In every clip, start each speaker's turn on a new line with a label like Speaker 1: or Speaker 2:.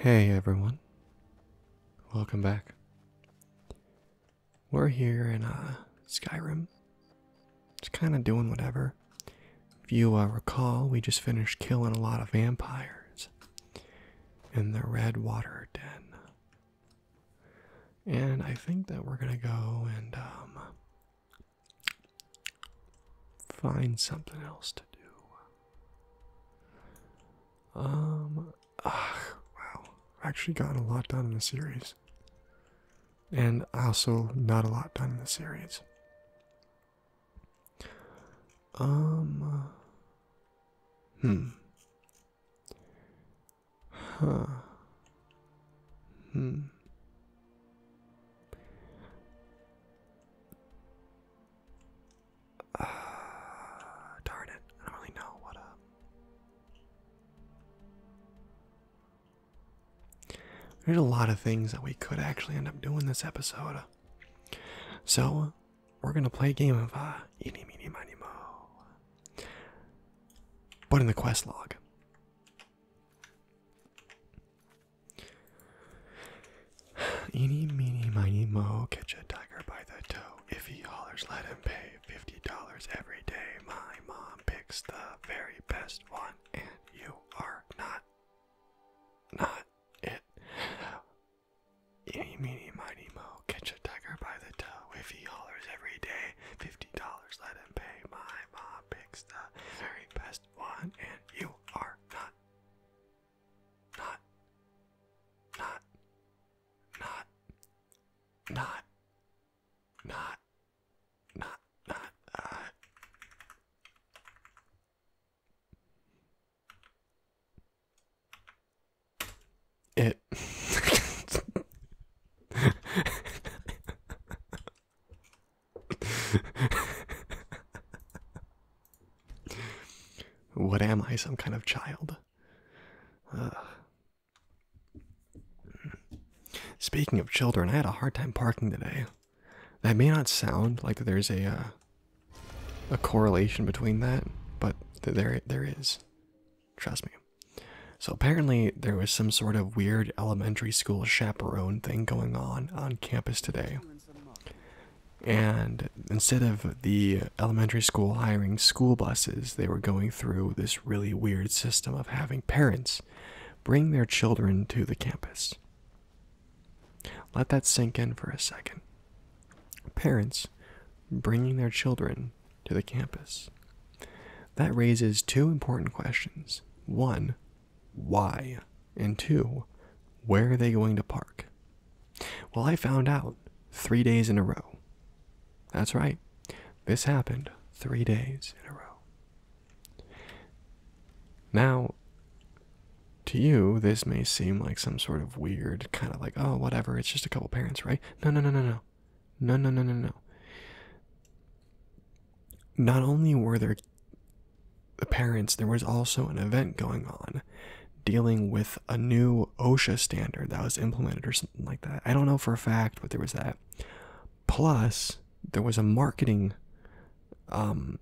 Speaker 1: Hey everyone, welcome back. We're here in uh, Skyrim, just kind of doing whatever. If you uh, recall, we just finished killing a lot of vampires in the Red Water Den. And I think that we're gonna go and um, find something else to do. Um, ugh, wow, I've actually gotten a lot done in the series, and also not a lot done in the series. Um, hmm. Huh. Hmm. Uh, darn it. I don't really know what uh, There's a lot of things that we could actually end up doing this episode. Uh. So, we're going to play a game of uh, Eeny, Meeny, Miny, Mo. But in the quest log. Eeny, meeny, miny, mo, catch a tiger by the toe. If he hollers, let him pay fifty dollars every day. My mom picks the very best one, and you are not, not it. Eeny, meeny, miny, mo, catch a tiger by the toe. If he hollers every day, fifty dollars, let him pay. My mom picks the very best one, and you are not, not, not, not, not, not, not, not, uh, it what am I, some kind of child? Speaking of children, I had a hard time parking today. That may not sound like there's a uh, a correlation between that, but there there is. Trust me. So apparently there was some sort of weird elementary school chaperone thing going on on campus today. And instead of the elementary school hiring school buses, they were going through this really weird system of having parents bring their children to the campus. Let that sink in for a second. Parents bringing their children to the campus. That raises two important questions. One, why? And two, where are they going to park? Well, I found out three days in a row. That's right, this happened three days in a row. Now, to you, this may seem like some sort of weird kind of like, oh, whatever, it's just a couple parents, right? No, no, no, no, no no, no, no, no, no. Not only were there the parents, there was also an event going on dealing with a new OSHA standard that was implemented or something like that. I don't know for a fact, but there was that. Plus, there was a marketing um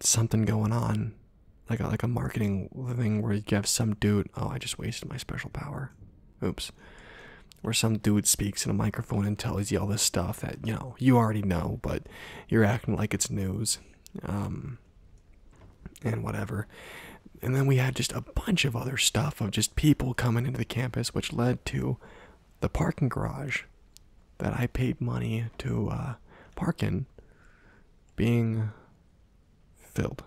Speaker 1: something going on. Like a like a marketing thing where you have some dude, oh I just wasted my special power oops, where some dude speaks in a microphone and tells you all this stuff that you know you already know, but you're acting like it's news, um, and whatever. And then we had just a bunch of other stuff of just people coming into the campus, which led to the parking garage that I paid money to uh, park in being filled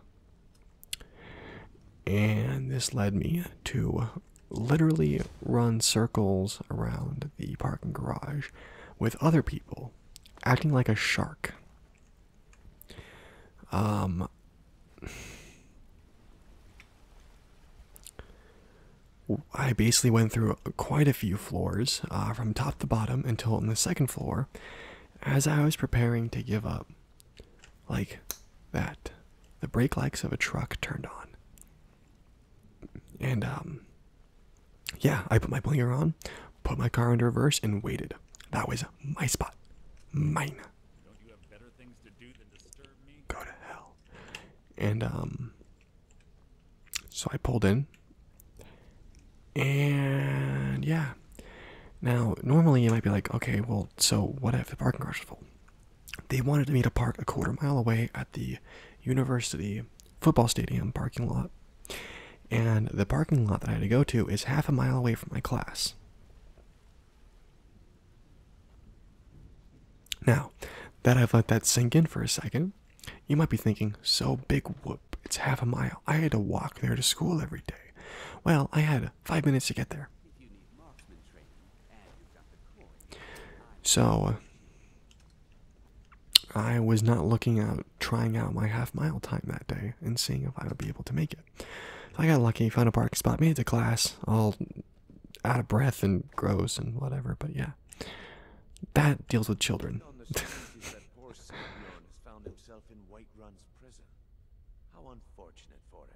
Speaker 1: and this led me to literally run circles around the parking garage with other people acting like a shark. Um I basically went through quite a few floors uh, from top to bottom until on the second floor as I was preparing to give up. Like that. The brake lights of a truck turned on. And, um, yeah, I put my blinker on, put my car into reverse, and waited. That was my spot. Mine.
Speaker 2: do Go to hell.
Speaker 1: And, um, so I pulled in. And, yeah. Now, normally you might be like, okay, well, so what if the parking garage is full? They wanted me to park a quarter mile away at the university football stadium parking lot. And the parking lot that I had to go to is half a mile away from my class. Now, that I've let that sink in for a second, you might be thinking, so big whoop, it's half a mile. I had to walk there to school every day. Well, I had five minutes to get there. So, uh, I was not looking out, trying out my half mile time that day and seeing if I would be able to make it. I got lucky, found a parking spot, made it to class, all out of breath and gross and whatever, but yeah. That deals with children.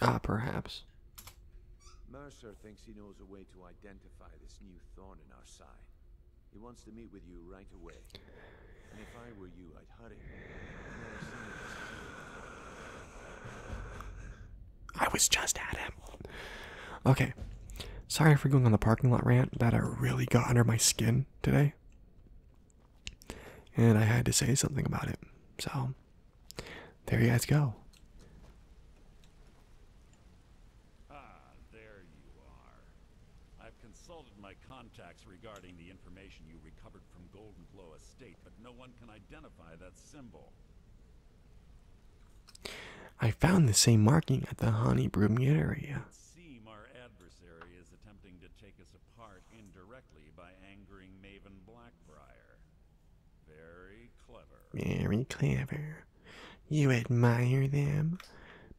Speaker 1: Ah, perhaps.
Speaker 3: Mercer thinks he knows a way to identify this new thorn in our side. He wants to meet with you right away. And if I were you, I'd hurry. I was just at him.
Speaker 1: Okay. Sorry for going on the parking lot rant. That I really got under my skin today. And I had to say something about it. So, there you guys go.
Speaker 2: Ah, there you are. I've consulted my contacts regarding the information you recovered from Golden Glow Estate, but no one can identify that symbol.
Speaker 1: I found the same marking at the Honey Broom area.
Speaker 2: It seems our adversary is attempting to take us apart indirectly by angering Maven Black. Very clever.
Speaker 1: You admire them?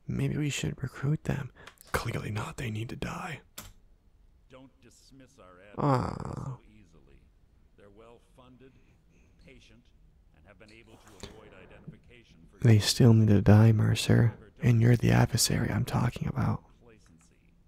Speaker 1: Maybe we should recruit them. Clearly not. They need to die.
Speaker 2: do ah.
Speaker 1: They still need to die, Mercer. And you're the adversary I'm talking about.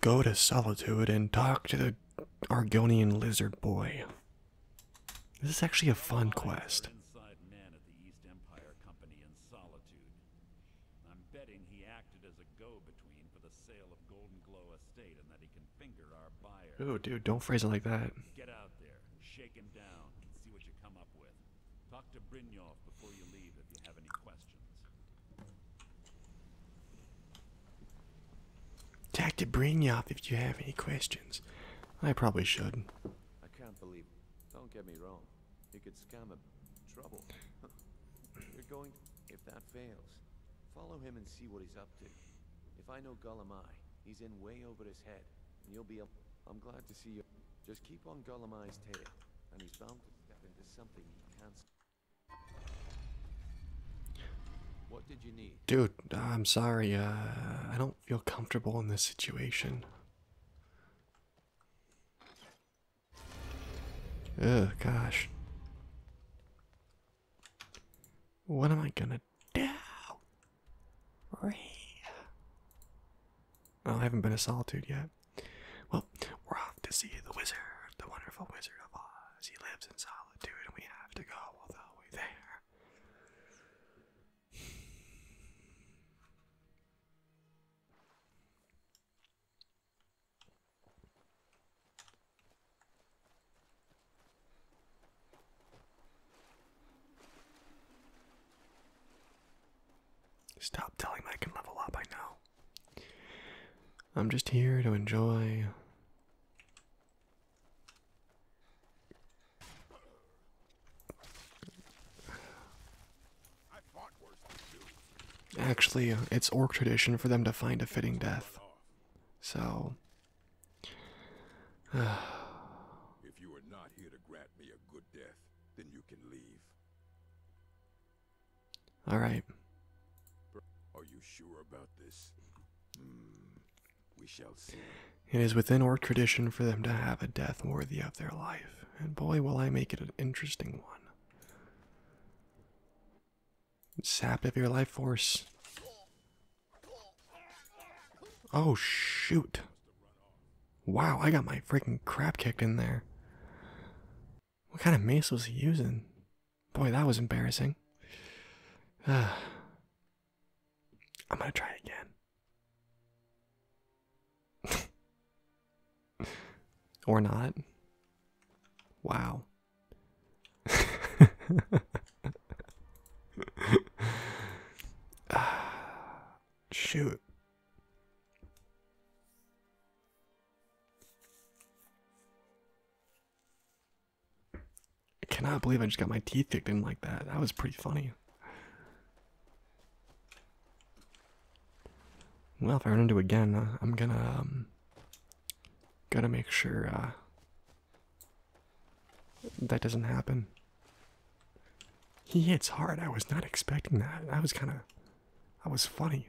Speaker 1: Go to Solitude and talk to the Argonian lizard boy. This is actually a fun quest.
Speaker 2: Man at the East Empire Company in Solitude. I'm betting he acted as a go-between for the sale of Golden Glow Estate Ooh, dude, don't phrase it like that. Get out there, shake him down, and see what you come up with. Talk to Brynjolf before you leave if you have any questions questions.
Speaker 1: to bring you if you have any questions. I probably should.
Speaker 3: I can't believe. Don't get me wrong. You could scam him. Trouble. You're going. If that fails, follow him and see what he's up to. If I know Gulamai, he's in way over his head, and you'll be. I'm glad to see you. Just keep on Gulamai's tail, and he's bound to step into something he can't what did you need?
Speaker 1: Dude, I'm sorry. Uh, I don't feel comfortable in this situation. Oh gosh. What am I gonna do? I haven't been to Solitude yet. Well, we're off to see the wizard, the wonderful Wizard of Oz. He lives in Solitude, and we have to go all the way there. Stop telling me I can level up, I know. I'm just here to enjoy. Actually, it's orc tradition for them to find a fitting death. So, if you are not
Speaker 3: here to grant me a good death, then you can leave. All right. Are you sure about this? Hmm, we shall see.
Speaker 1: It is within our tradition for them to have a death worthy of their life, and boy, will I make it an interesting one. Sapped of your life force. Oh, shoot. Wow, I got my freaking crap kicked in there. What kind of mace was he using? Boy, that was embarrassing. Uh, I'm gonna try again. or not. Wow. shoot. I cannot believe I just got my teeth kicked in like that. That was pretty funny. Well, if I run into again, uh, I'm gonna um, gotta make sure uh, that doesn't happen. He hits hard. I was not expecting that. I was kind of, I was funny.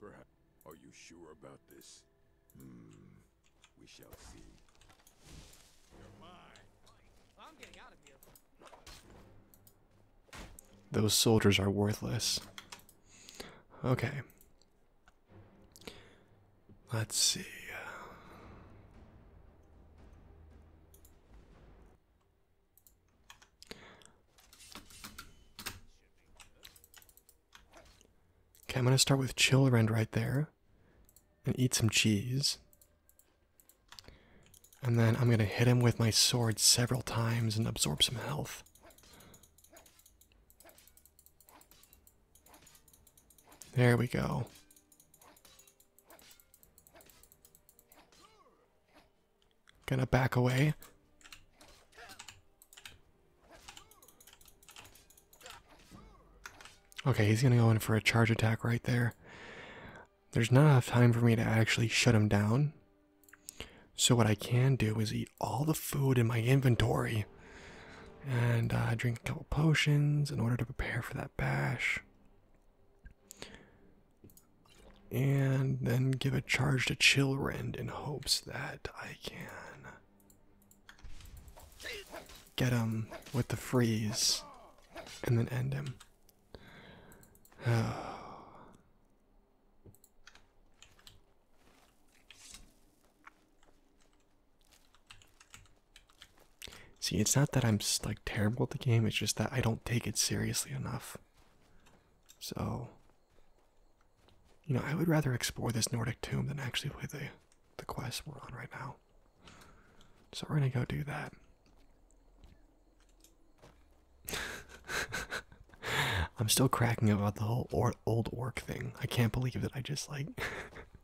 Speaker 3: Perhaps. Are you sure about this? Hmm. We shall see.
Speaker 1: Those soldiers are worthless. Okay. Let's see. Okay, I'm gonna start with Chilrend right there and eat some cheese. And then I'm gonna hit him with my sword several times and absorb some health. There we go. Gonna back away. Okay, he's gonna go in for a charge attack right there. There's not enough time for me to actually shut him down. So, what I can do is eat all the food in my inventory and uh, drink a couple potions in order to prepare for that bash and then give a charge to Chillrend in hopes that I can get him with the freeze and then end him. See, it's not that I'm like terrible at the game, it's just that I don't take it seriously enough. So, you know, I would rather explore this Nordic tomb than actually play the, the quest we're on right now. So we're gonna go do that. I'm still cracking up about the whole old orc thing. I can't believe that I just like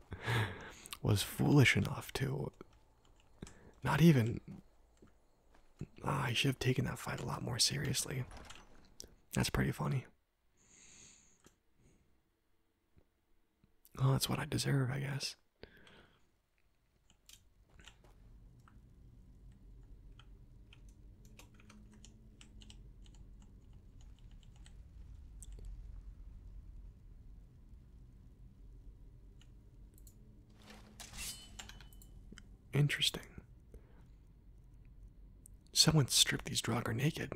Speaker 1: was foolish enough to not even I ah, should have taken that fight a lot more seriously. That's pretty funny. Oh, that's what I deserve, I guess. Interesting. Someone stripped these Draugr naked.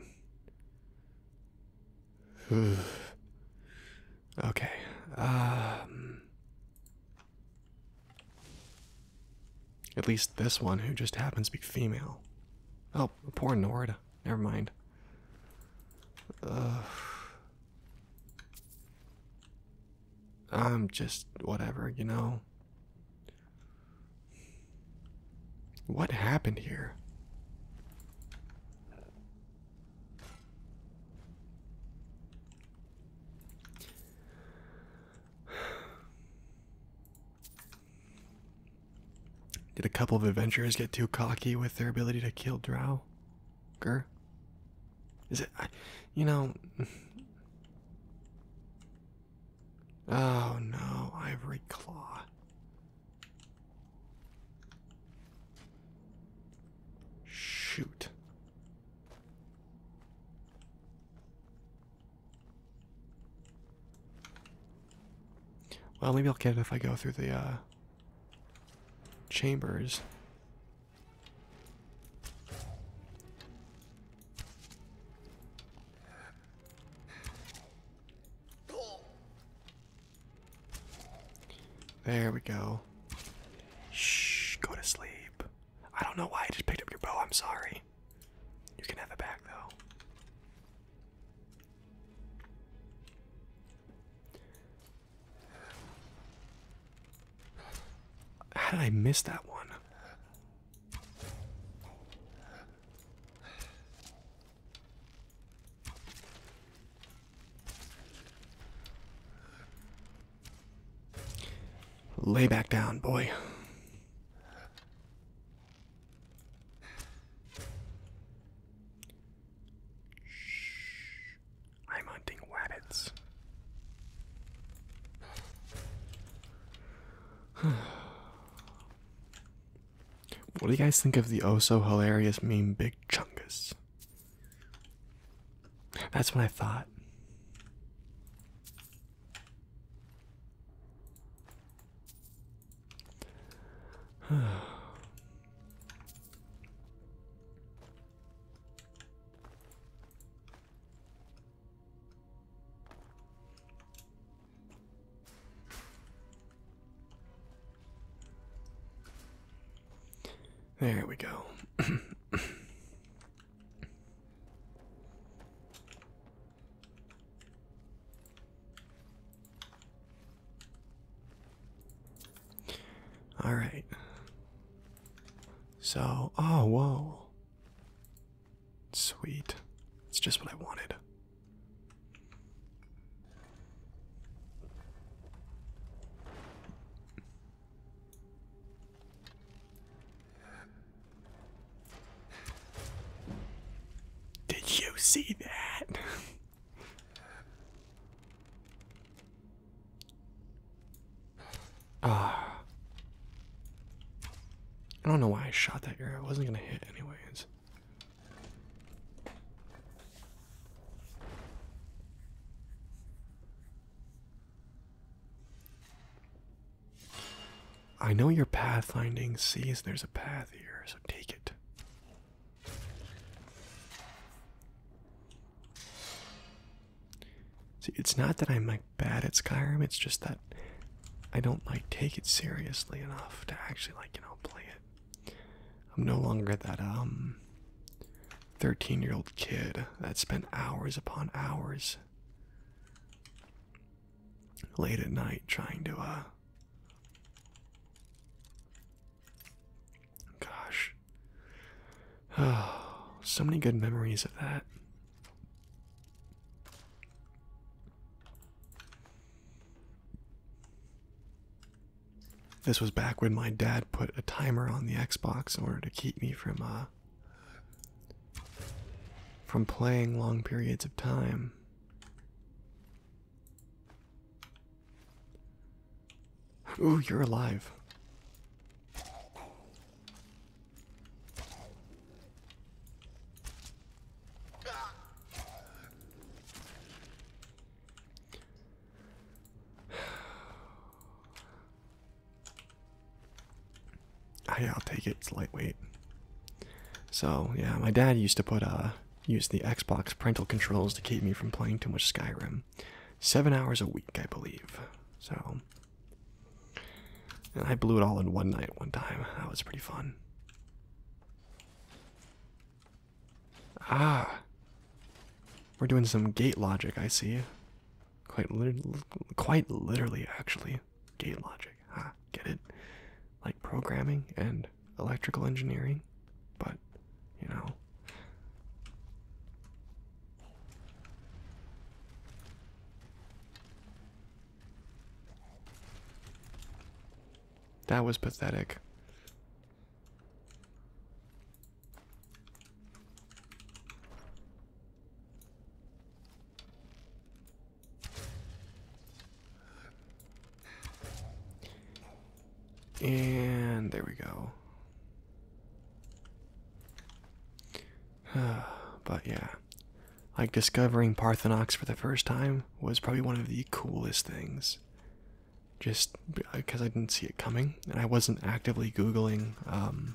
Speaker 1: okay. Um, at least this one, who just happens to be female. Oh, poor Nord. Never mind. Uh, I'm just whatever, you know. What happened here? Did a couple of adventurers get too cocky with their ability to kill Drow? Gur? Is it, you know. Oh no, Ivory Claw. Shoot. Well, maybe I'll get it if I go through the uh, chambers. There we go. Shh, go to sleep. I don't know why I just picked up your bow, I'm sorry. You can have it back though. How did I miss that one? Lay back down, boy. Shh. I'm hunting rabbits. what do you guys think of the oh so hilarious meme Big Chungus? That's what I thought. There we go. All right. So, oh, whoa. Sweet. It's just what I wanted. Did you see that? Ah. I don't know why I shot that arrow. It wasn't going to hit, anyways. I know your pathfinding sees there's a path here, so take it. See, it's not that I'm like bad at Skyrim, it's just that I don't like take it seriously enough to actually like, you know, play it. I'm no longer that um 13-year-old kid that spent hours upon hours late at night trying to uh gosh oh so many good memories of that this was back when my dad put a timer on the Xbox in order to keep me from uh from playing long periods of time. Ooh, you're alive. I, I'll take it. It's lightweight. So yeah, my dad used to put uh use the Xbox parental controls to keep me from playing too much Skyrim. Seven hours a week, I believe. So and I blew it all in one night one time. That was pretty fun. Ah. We're doing some gate logic, I see. Quite literally, quite literally actually. Gate logic. Ah, get it? Like programming and electrical engineering, but you know, that was pathetic. And there we go. but yeah. Like discovering Parthenox for the first time was probably one of the coolest things. Just because I didn't see it coming, and I wasn't actively Googling um,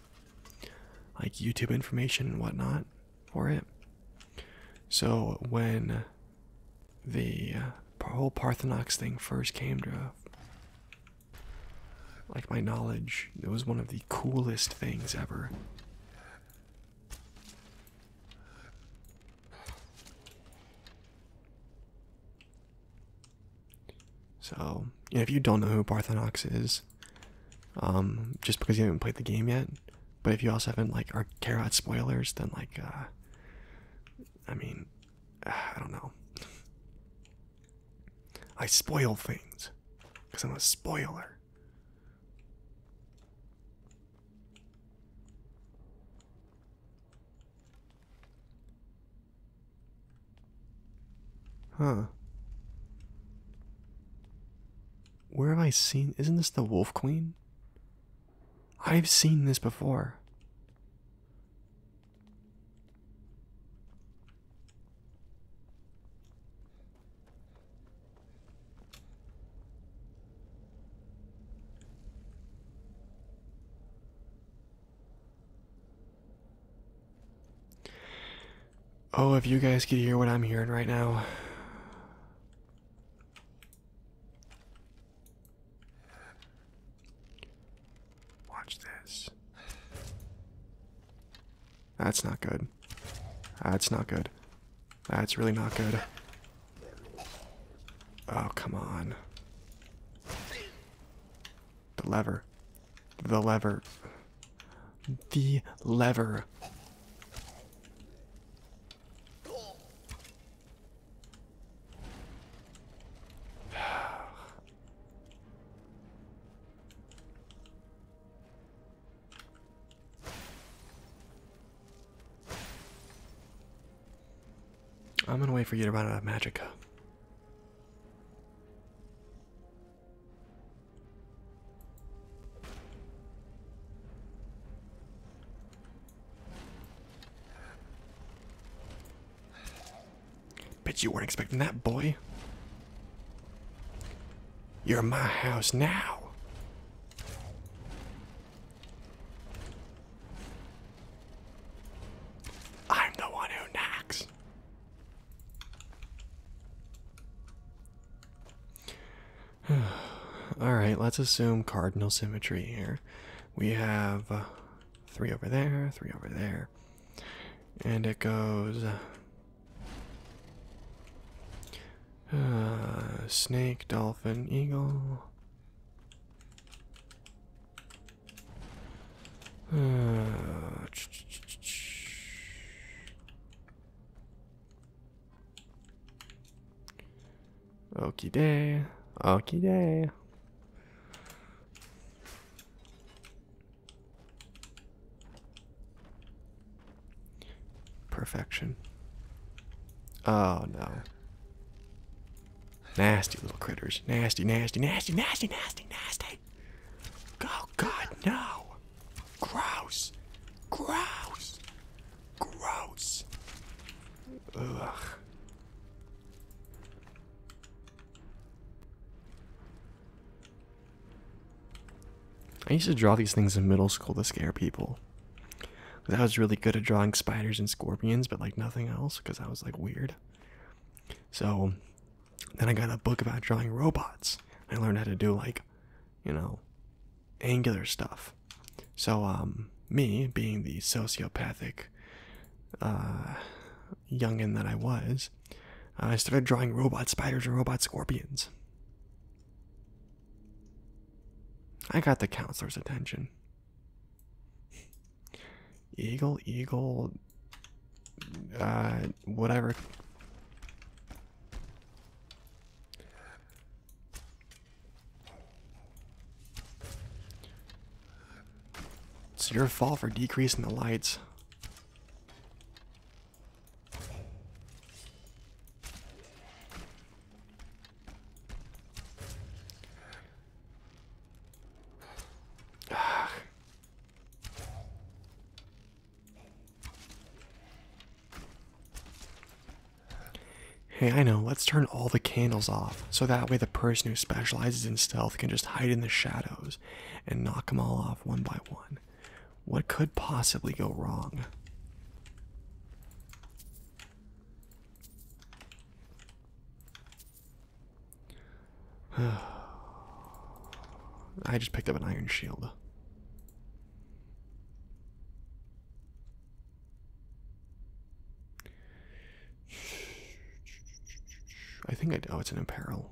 Speaker 1: like YouTube information and whatnot for it. So when the uh, whole Parthenox thing first came to like my knowledge. It was one of the coolest things ever. So, if you don't know who Parthenox is, um, just because you haven't played the game yet, but if you also haven't like or care about spoilers, then like, uh, I mean, I don't know. I spoil things because I'm a spoiler. Huh. Where have I seen? Isn't this the Wolf Queen? I've seen this before. Oh, if you guys could hear what I'm hearing right now. Watch this. That's not good. That's not good. That's really not good. Oh, come on. The lever. The lever. The lever. I'm gonna wait for you to run out of magica. Bet you weren't expecting that, boy. You're my house now. I'm the one who knocks. All right, let's assume cardinal symmetry here. We have uh, three over there, three over there, and it goes uh, snake, dolphin, eagle. Uh, ch -ch -ch Perfection. Oh no. Nasty little critters. Nasty, nasty, nasty, nasty, nasty, nasty. Oh god, no. Gross. Gross.
Speaker 3: Gross. Ugh.
Speaker 1: I used to draw these things in middle school to scare people. That was really good at drawing spiders and scorpions, but like nothing else, because I was like weird. So then I got a book about drawing robots. I learned how to do like, you know, angular stuff. So um, me being the sociopathic uh, youngin that I was, uh, I started drawing robot spiders and robot scorpions. I got the counselor's attention. Eagle, eagle, uh, whatever. It's your fault for decreasing the lights. Hey, I know, let's turn all the candles off so that way the person who specializes in stealth can just hide in the shadows and knock them all off one by one. What could possibly go wrong? I just picked up an iron shield. I think I. Oh, it's an apparel.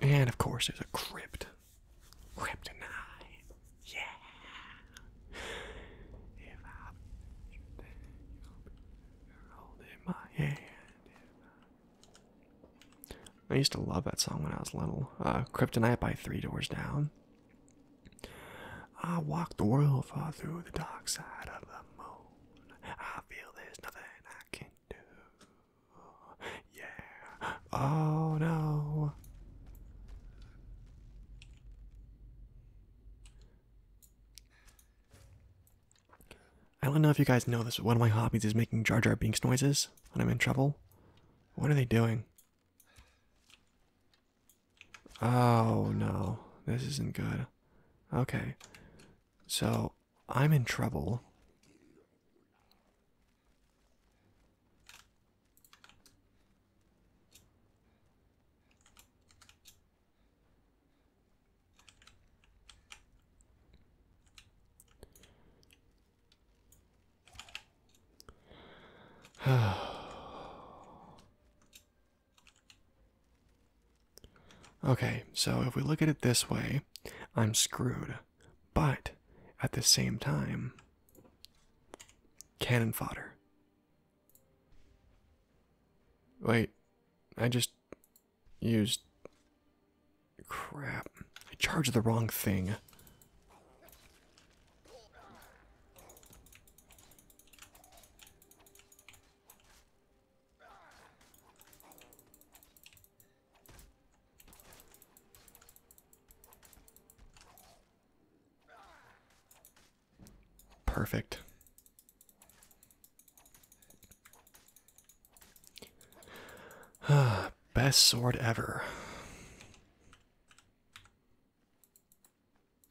Speaker 1: And of course, there's a crypt. Kryptonite. Yeah. I used to love that song when I was little. Uh, Kryptonite by Three Doors Down. I walk the world far through the dark side of the moon. I feel there's nothing I can do. Yeah. Oh no. I don't know if you guys know this, but one of my hobbies is making Jar Jar Binks noises when I'm in trouble. What are they doing? Oh no, this isn't good. Okay, so I'm in trouble. okay, so if we look at it this way, I'm screwed. But at the same time, cannon fodder. Wait, I just used. Crap. I charged the wrong thing. Perfect. Best sword ever.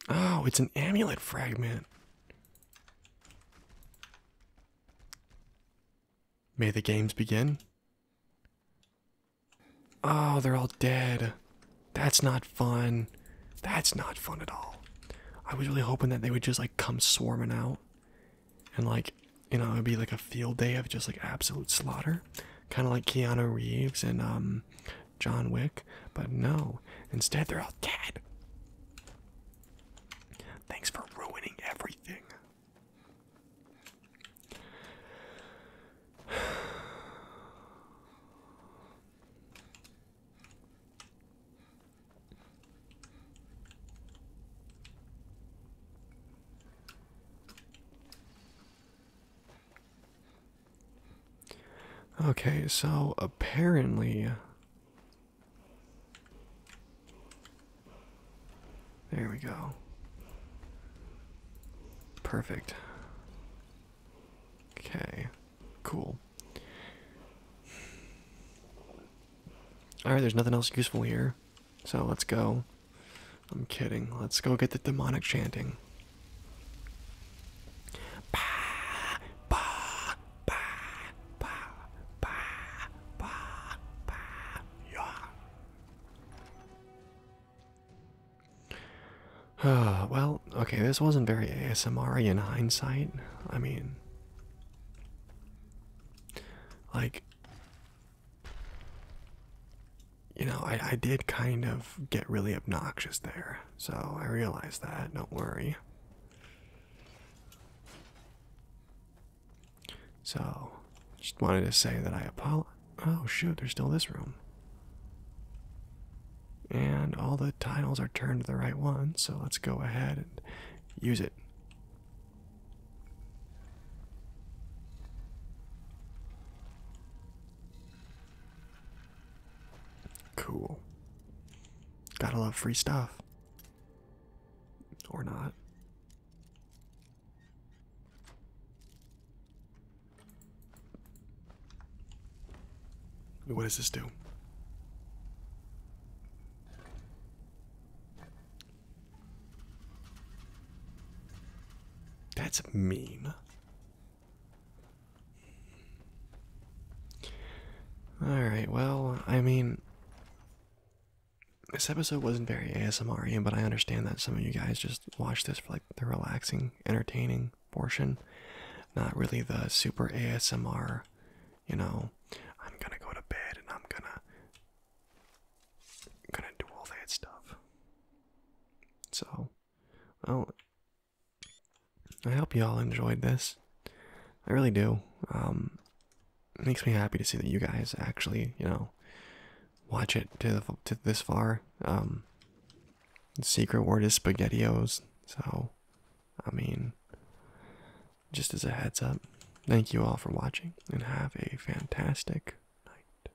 Speaker 1: Oh, it's an amulet fragment. May the games begin. Oh, they're all dead. That's not fun. That's not fun at all. I was really hoping that they would just like come swarming out and like, you know, it would be like a field day of just like absolute slaughter kind of like Keanu Reeves and um, John Wick, but no. Instead, they're all dead. Thanks for ruining everything. Okay, so apparently. There we go. Perfect. Okay, cool. Alright, there's nothing else useful here, so let's go. I'm kidding. Let's go get the demonic chanting. Bah, well, okay, this wasn't very ASMR in hindsight. I mean, like, you know, I, I did kind of get really obnoxious there, so I realize that, don't worry. So, just wanted to say that I apologize. Oh, shoot, there's still this room. And all the tiles are turned to the right one, so let's go ahead and use it. Cool. Gotta love free stuff. Or not. What does this do? That's mean. Alright, well, I mean, this episode wasn't very ASMR, but I understand that some of you guys just watch this for like the relaxing, entertaining portion, not really the super ASMR, you know, I'm gonna go to bed and I'm gonna gonna do all that stuff. So well, I hope you all enjoyed this. I really do. Um, makes me happy to see that you guys actually, you know, watch it to the, to this far. Um, secret word is SpaghettiOs, so I mean, just as a heads up, thank you all for watching and have a fantastic night.